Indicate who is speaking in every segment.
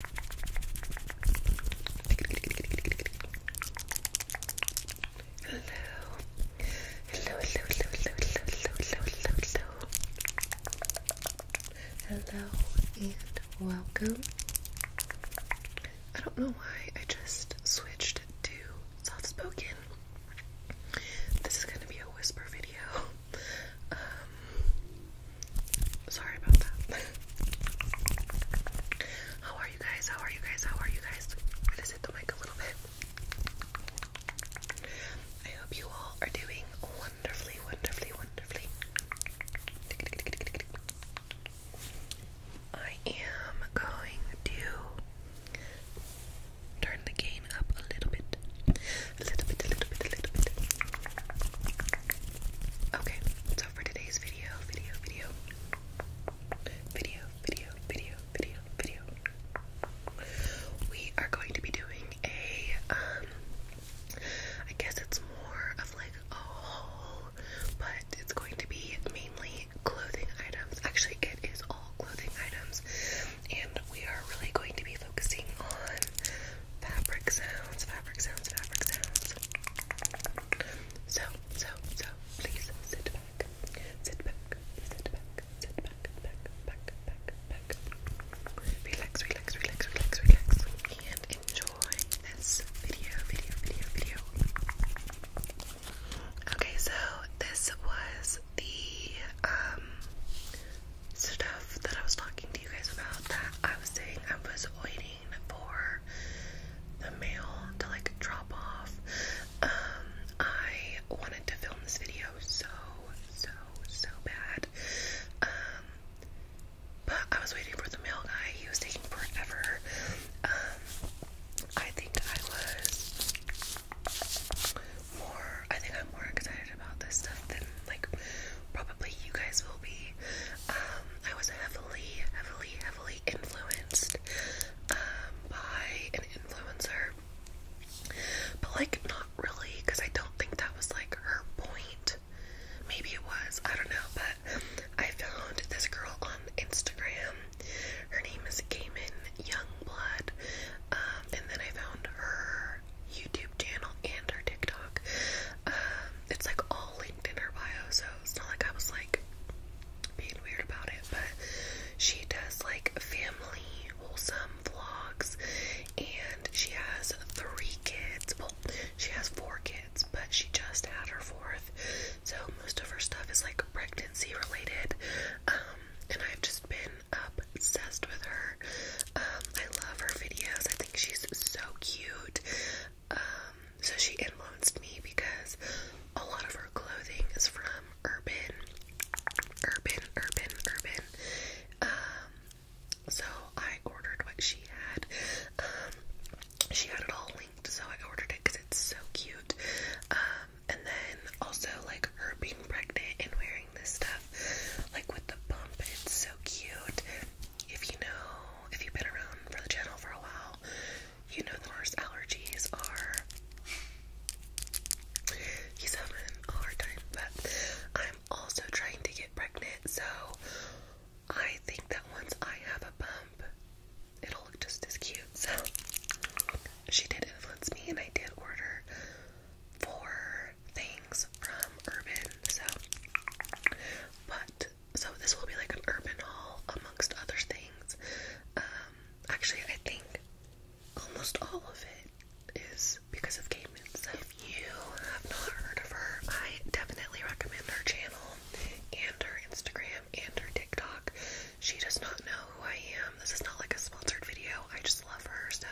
Speaker 1: hello, hello, hello, hello, hello, hello, hello, and welcome. I don't know why I just switched to soft spoken. This is gonna be a whisper video. Um, sorry about that. How are you guys? How are you guys? How are you guys? I just hit the mic a little bit. I hope you all are doing wonderfully, wonderfully, wonderfully. I am going to turn the gain up a little bit. A little bit, a little bit, a little bit. Okay, so for today's video, video, video, video, video, video, video, we are going to be doing a, um, I guess it's more of like a haul, but it's going to be mainly clothing items. Actually, it is all clothing items, and we are really going to be focusing on fabric sounds, fabric sounds, fabric sounds. So, so, so, please sit back, sit back, sit back, sit back, back, back, back, back. Relax, relax, relax, relax, relax, and enjoy this video, video, video, video. Okay, so this was the um stuff that I was talking to you guys about that I was saying I was waiting for the mail to like drop off. Um, I wanted to film this video so, so, so bad. Um, but I was waiting for the mail guy. He was taking forever. Um, I think I was more, I think I'm more excited about this stuff than like probably you guys will be. Um, I was heavily, heavily, heavily influenced um, by an influencer, but like not really, because I don't think that was like her point. Maybe it was, I don't know, but I found this girl on Instagram. Her name is Gaiman Youngblood. Um, and then I found her YouTube channel and her TikTok. Um, it's like all linked in her bio, so it's not like I was like being weird about it, but she does like family wholesome vlogs and she has three kids. Well, she has four kids, but she just had her fourth. So most of her stuff is like pregnancy related. Um, and I've just been obsessed with her her. Um, I love her videos. I think she's so cute. Um, so she influenced me because a lot of her clothing is from urban, urban, urban, urban. Um, so I ordered what she had. Um, she had it all linked, so I ordered it because it's so cute. Um, and then also like her being pregnant and wearing this stuff. Like with the bump, it's so cute. If you know, if you've been around for the channel for a while, you know the worst allergies are. He's having a hard time, but I'm also trying to get pregnant, so I think that once I have a bump, it'll look just as cute. So she did influence me, and I did order for things from Urban. So, but so this will be like an Urban haul amongst other things. Um, actually, I think almost all of it is because of Caitlin. So, if you have not heard of her, I definitely recommend her channel and her Instagram and her TikTok. She does not know who I am. This is not like a sponsored video. I just love her, so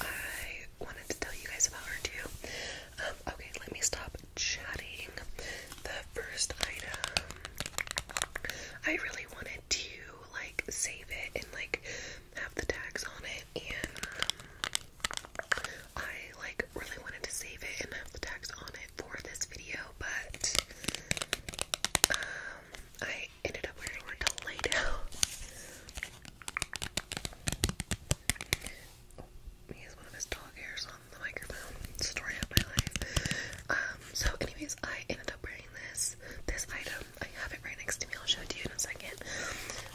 Speaker 1: I wanted to tell you guys about her too. Um, okay, let me stop chatting. The first item, I really wanted to like save it and like have the tags on it, and um, I like really wanted to save it and have the tags on it for this video, but um, I ended up wearing were to lay down. he has one of his dog hairs on the microphone. Story of my life. Um, so anyways, I ended up wearing this this item. I have it right next to me, I'll show it to you in a second.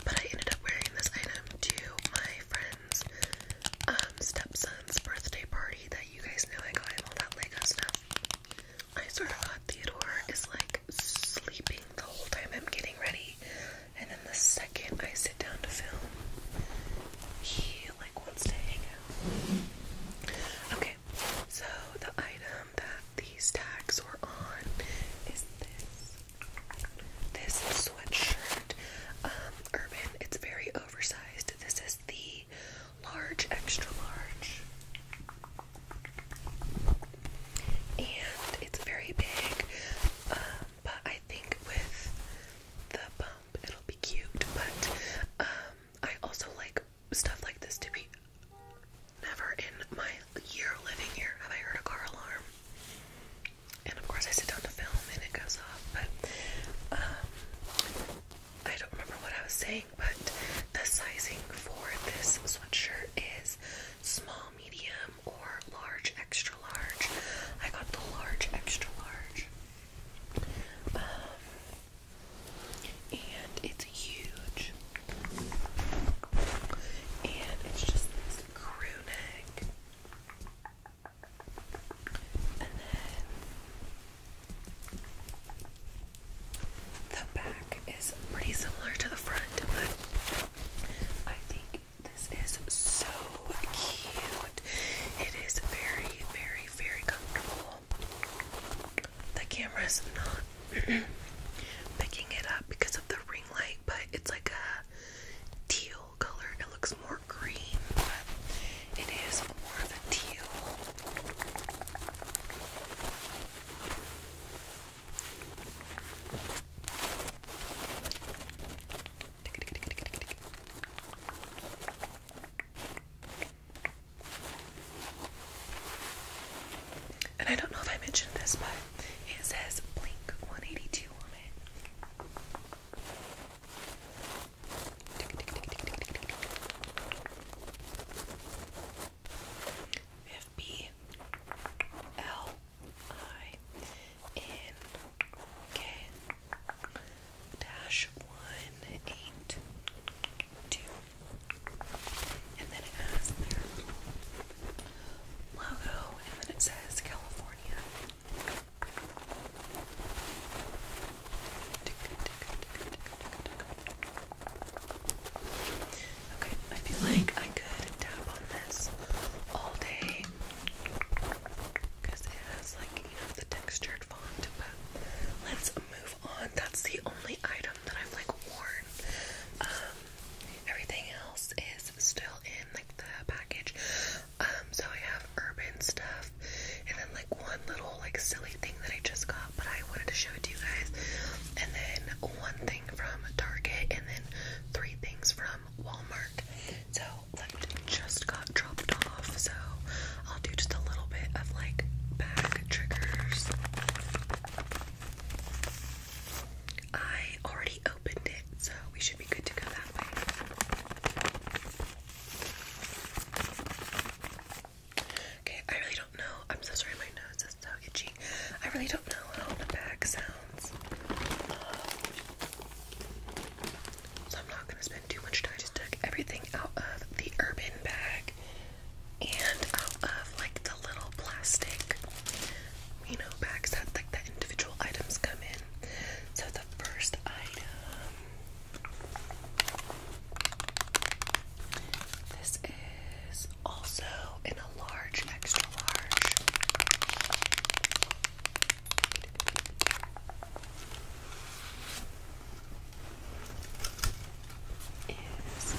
Speaker 1: But I ended up wearing this item to my friend's um, stepson's birthday party that you guys know I got him all that Lego stuff I sort of thought Theodore is like sleeping the whole time I'm getting ready, and then the second I sit down to film, he like wants to hang out. Okay, so the item that these tags were on is this this sweatshirt, um, Urban. It's very oversized. This is the large, extra large and it's very big. Um, but I think with the bump, it'll be cute. But um, I also like stuff like this to be. Never in my year living here have I heard a car alarm. And of course, I sit down to film and it goes off. But um, I don't remember what I was saying but the sizing for this sweatshirt is small, medium, or large, extra large. I got the large, extra large. Um, and it's huge. And it's just this crew neck. The back is pretty similar to the front, but I think this is so cute. It is very, very, very comfortable. The camera is not picking it up because of the ring light, but it's like a teal color. It looks more green, but it is more of a teal. And I don't know if I mentioned this, but it says Blink 182 on it. We have B L I N K dash one eight two. And then it has their logo and then it says California. Okay, I feel like I could tap on this all day because it has like you know the textured font. But let's move on. That's the only item that I've like worn. Um, everything else is still in like the package. Um, so I have urban stuff and then like one little like silly thing that I just got, but I wanted to show it to you guys. And then one thing from Target, and then three things from Walmart. So that just got dropped off. So I'll do just a little bit of like bag triggers. I already opened it, so we should be good to go that way. Okay, I really don't know. I'm so sorry, my nose is so itchy. I really don't know how the bag sounds. Um, so I'm not gonna spend too much time. just took everything out of the urban bag and out of like the little plastic, you know, bags that like the individual items come in. So the first item. This is also in a large, extra large. Is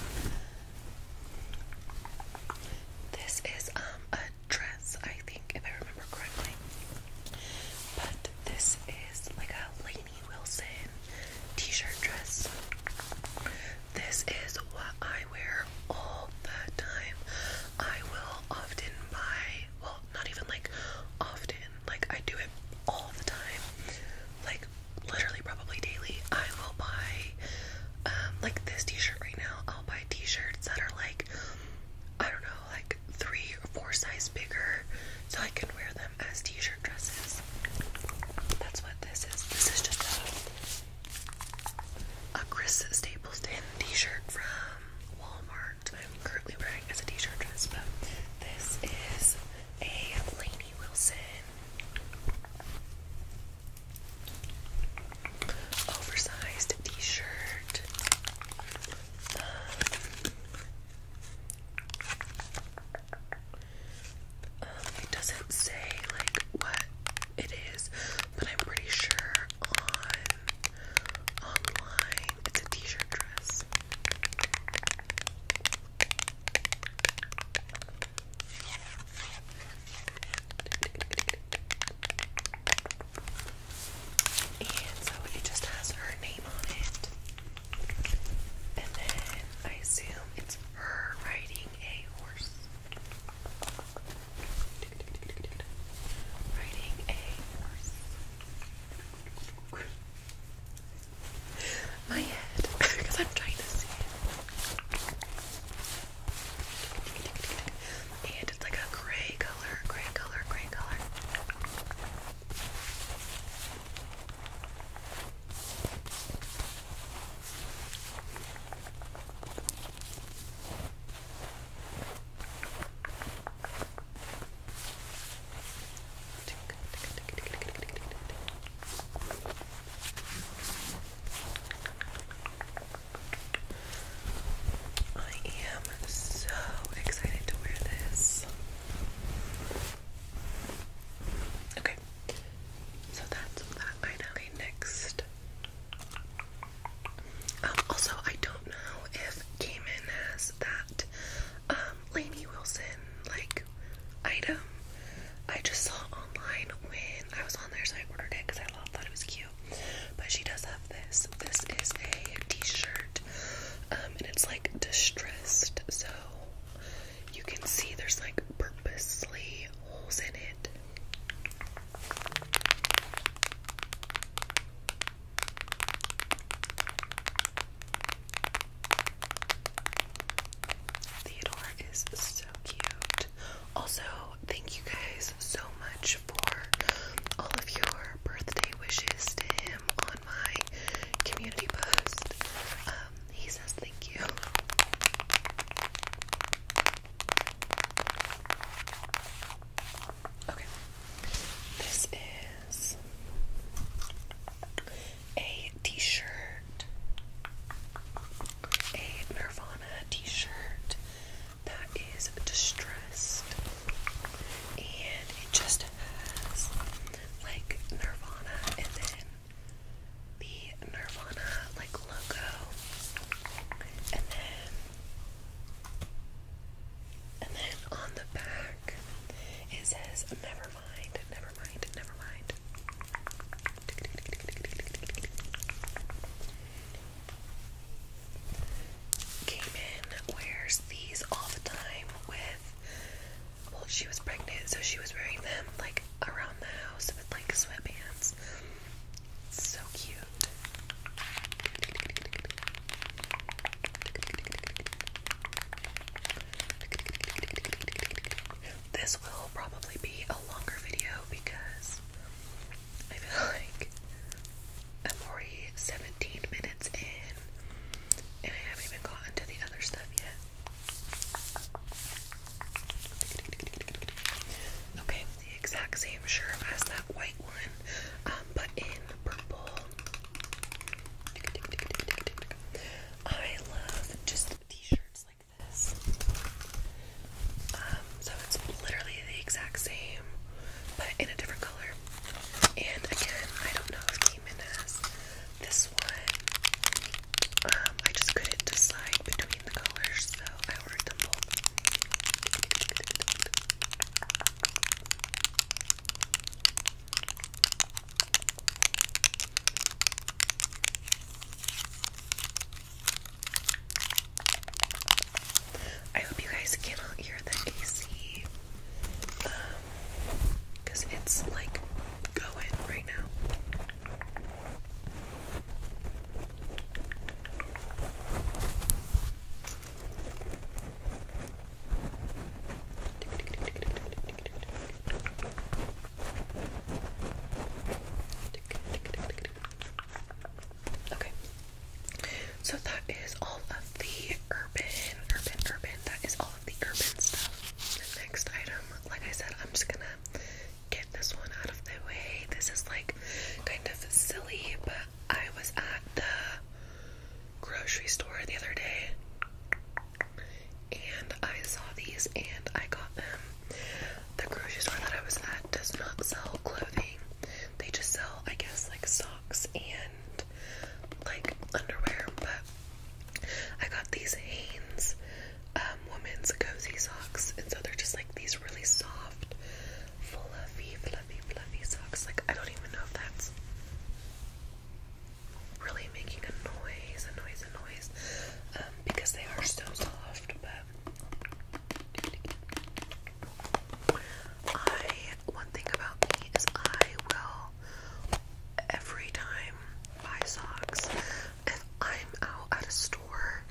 Speaker 1: this is um a dress, I think, if I remember correctly. But this is like a lady Wilson t-shirt dress. This is what I wear all the time. I will often buy, well, not even like often, like I do it all the time. Like literally probably daily. I will buy um, like this t-shirt right now. I'll buy t-shirts that are like I don't know, like three or four size bigger so I can wear them as t-shirt dresses this. That's what this is. This is just a, a Chris Stapleton t-shirt from Walmart. I'm currently wearing as a t-shirt dress, but this is a Lainey Wilson oversized t-shirt. Um, um, it doesn't say like what it is, but I'm pretty sure on online it's a t-shirt dress. And so it just has her name on it. And then I assume it's her riding a horse. Riding a horse. My head, because I'm trying to see it. And it's like a gray color, gray color, gray color. I am so excited to wear this. Okay, so that's that item. next. Um, also, I don't know if Cayman has that um, Lainey Wilson like item. I just saw online when I was on there, so I ordered it because I thought it was cute. But she does have this. This is a T-shirt, um, and it's like distressed, so you can see there's like purposely holes in it. Theodore is so cute. Also, thank you guys so much for all of your birthday wishes to him on my community post. Um, he says thank you. Okay, this is a t shirt, a Nirvana t shirt that is distressed, and it just has like Nirvana and then the Nirvana like logo and then and then on the back it says never mind, never mind, never mind. Came wears these all the time with well, she was pregnant, so she was wearing them like around the house with like sweatbands. So cute. This will probably be a longer video because I feel like I'm already 17 minutes in and I haven't even gotten to the other stuff yet. Okay, the exact same shirt as that white one, um, but in purple. I love just t-shirts like this. Um, so it's literally the exact same, but in a different color. And again, I don't know this one. Um, I just couldn't decide between the colors, so I ordered them both. I hope you guys cannot hear the AC. Um, because it's like going right now. Okay, so that is all of the urban, urban, urban. That is all of the urban stuff. The next item, like I said, I'm just gonna get this one out of the way. This is like kind of silly, but I was at the grocery store the other day and I saw these and I got them. The grocery store that I was at does not sell clothing, they just sell, I guess, like socks and like underwear, but I got these Hanes um, women's cozy socks, and so they're just like these really soft, fluffy, fluffy, fluffy socks. Like I don't even know if that's really making a noise, a noise, a noise, um, because they are so soft, but. I one thing about me is I will every time buy socks. If I'm out at a store,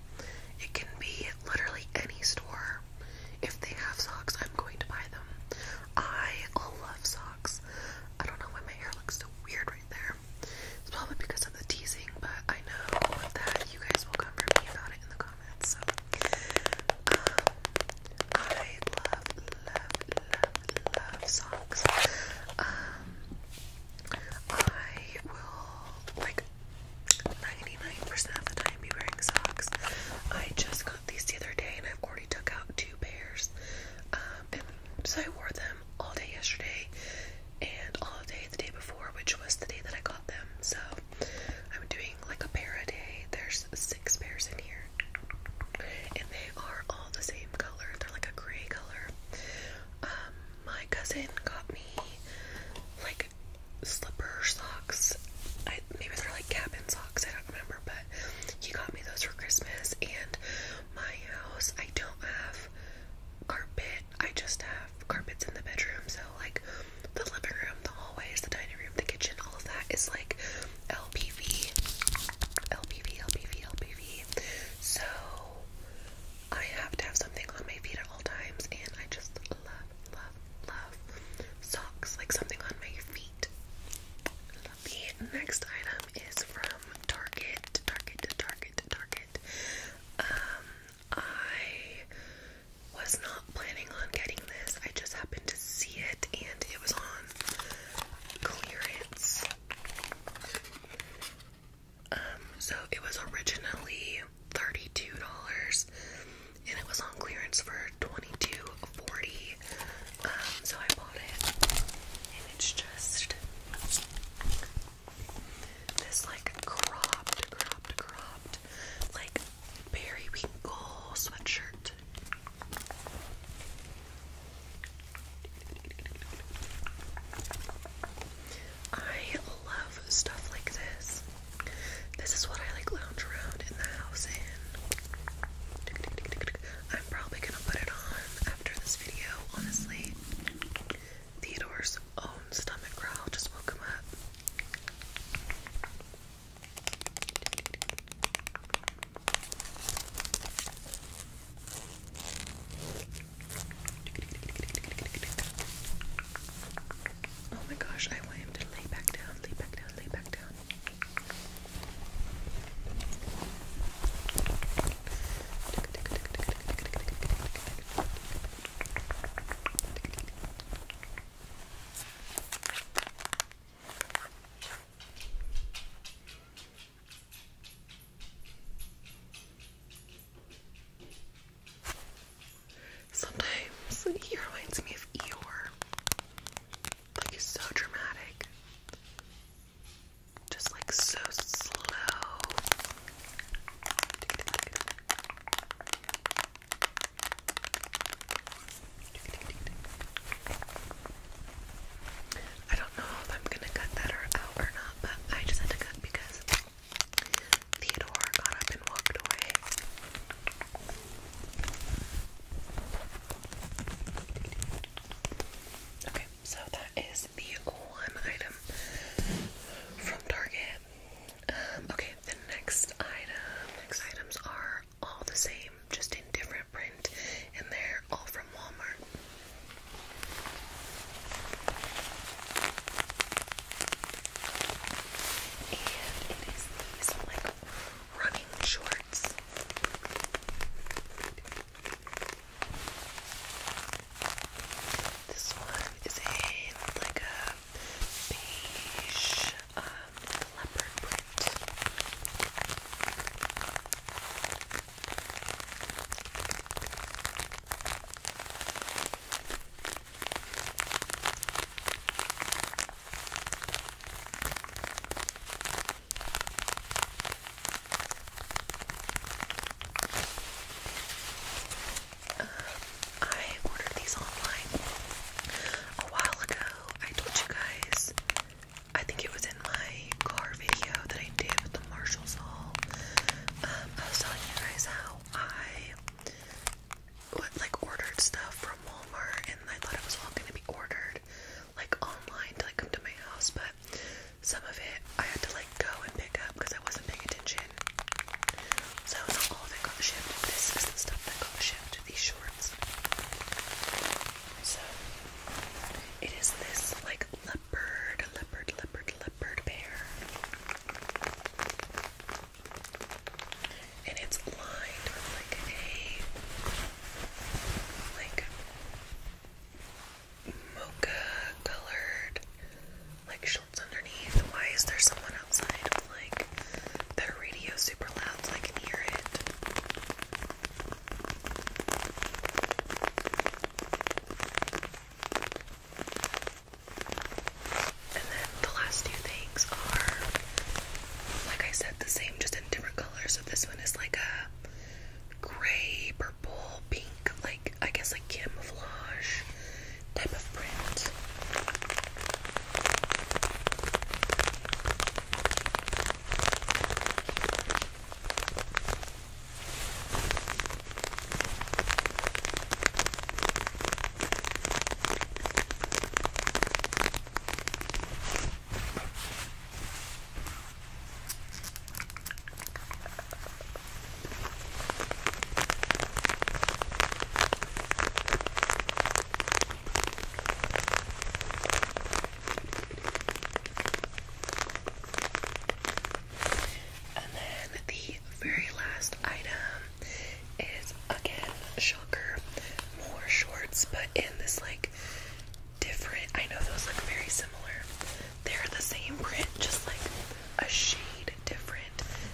Speaker 1: it can be literally any store. If they have socks, I'm going to buy them. I love socks. I don't know why my hair looks so weird right there. It's probably because of the teasing, but I know that you guys will come for me about it in the comments, um, I love, love, love, love socks. Um, I will, like, 99% of the time be wearing socks. I just got these the other day and I've already took out two pairs. Um, and so I wore them all day yesterday and all day the day before, which was the day that I got them. So I'm doing like a pair a day. There's six pairs in here, and they are all the same color. They're like a gray color. Um, my cousin got me like slipper socks. I, maybe they're like cabin socks. I don't remember, but he got me those for Christmas. And my house, I don't have carpet. I just have carpets in the bedroom, so like the living room, the hallways, the dining room, the kitchen, all of that is like LPV, LPV, LPV, LPV. So I have to have something on my feet at all times, and I just love, love, love socks, like something on my feet. The next item is from Target, Target, Target, Target. Um, I was not planning on getting this. I just happened to see it and it was on clearance. Um, so it was originally $32 and it was on clearance for $22.40. Um, so I bought it and it's just this like cropped, cropped, cropped like like periwinkle sweatshirt. I love stuff like this. This is what I like lounge around in the house in. I'm probably gonna put it on after this video, honestly. Theodore's own stomach growl just woke him up. Oh my gosh, I want him to lay back down, lay back down, lay back down. Sometimes he reminds me of Eeyore. Like he's so dramatic. Just like so slow. I don't know if I'm gonna cut that or not, but I just had to cut because Theodore got up and walked away. Okay, so that is the one item from Target. Um, okay, the next item. Next items are all the same, just in different print, and they're all from Walmart. And it is these like running shorts. This one is in like a beige um, leopard print. I ordered these online a while ago. I told you guys, I think it was in my car video that I did with the Marshalls haul. Um, I was telling you guys how I like ordered stuff from Walmart and I thought it was all going to be ordered like online to like come to my house, but some of it I had to like go and pick up because I wasn't paying attention so not all of it got shipped. This is the stuff that got shipped. These shorts. So it is this like leopard, leopard, leopard, leopard bear, and it's lined with like a like mocha colored like sh shorts underneath. Why is there someone outside with like their radio super loud so I can hear it? And then the last two things are, like I said, the same, just in different colors. So this one is like a gray, purple, pink, like I guess like camouflage type of print. And then the very last item is again shocker, more shorts, but in this like different. I know those look very similar. They're the same print, just like a shade different.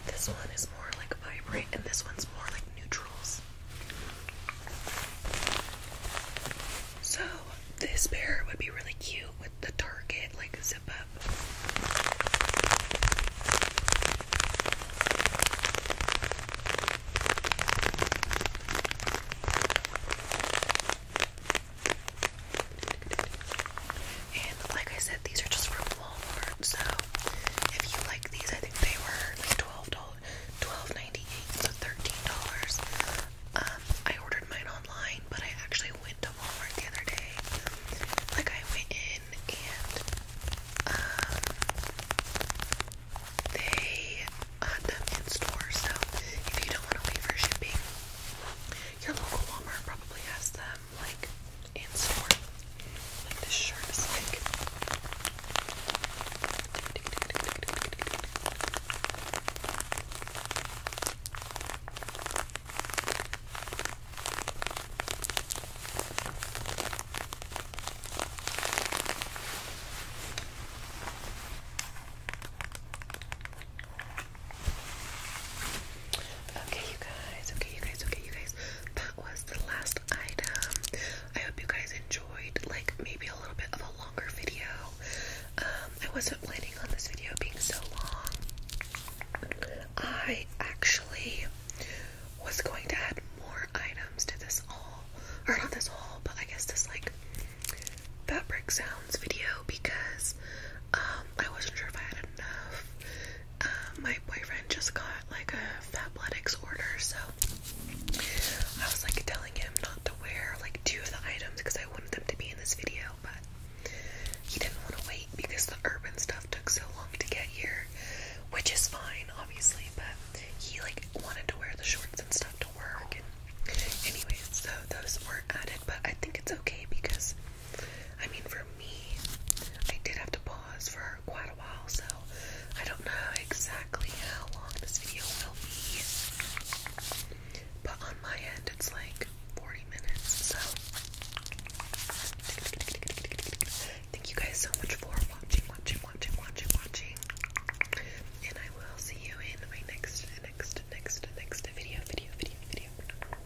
Speaker 1: This one is more like vibrant, and this one's more like neutrals. So, this pair would be really cute with the Target like zip up. And like I said, these are just from Walmart. So if you like these, I think they were like twelve dollars, twelve ninety eight, so thirteen dollars. Um, I ordered mine online, but I actually went to Walmart the other day. Like I went in and um, they had them in store. So if you don't want to wait for shipping, your local Walmart probably has them like in store. Like this shirt is like Okay, you guys. Okay, you guys. Okay, you guys. That was the last item. I hope you guys enjoyed, like, maybe a little bit of a longer video. Um, I wasn't planning on this video being so long. I actually was going to add more items to this haul. Or not this haul, but I guess this, like, fabric sounds video because um, I wasn't sure if I had enough um, my boyfriend just got like a fat Fabletics order, so I was like telling him not to wear like two of the items because I wanted them to be in this video, but he didn't want to wait because the urban stuff took so long to get here, which is fine, obviously, but he like wanted to wear the shorts and stuff to work. anyways, so those weren't added, but I think it's okay because I mean, for me, I did have to pause for quite a while, so I don't know exactly how long this video will be. But on my end, it's like 40 minutes, so. Thank you guys so much for watching, watching, watching, watching, watching. And I will see you in my next, next, next, next video, video, video, video.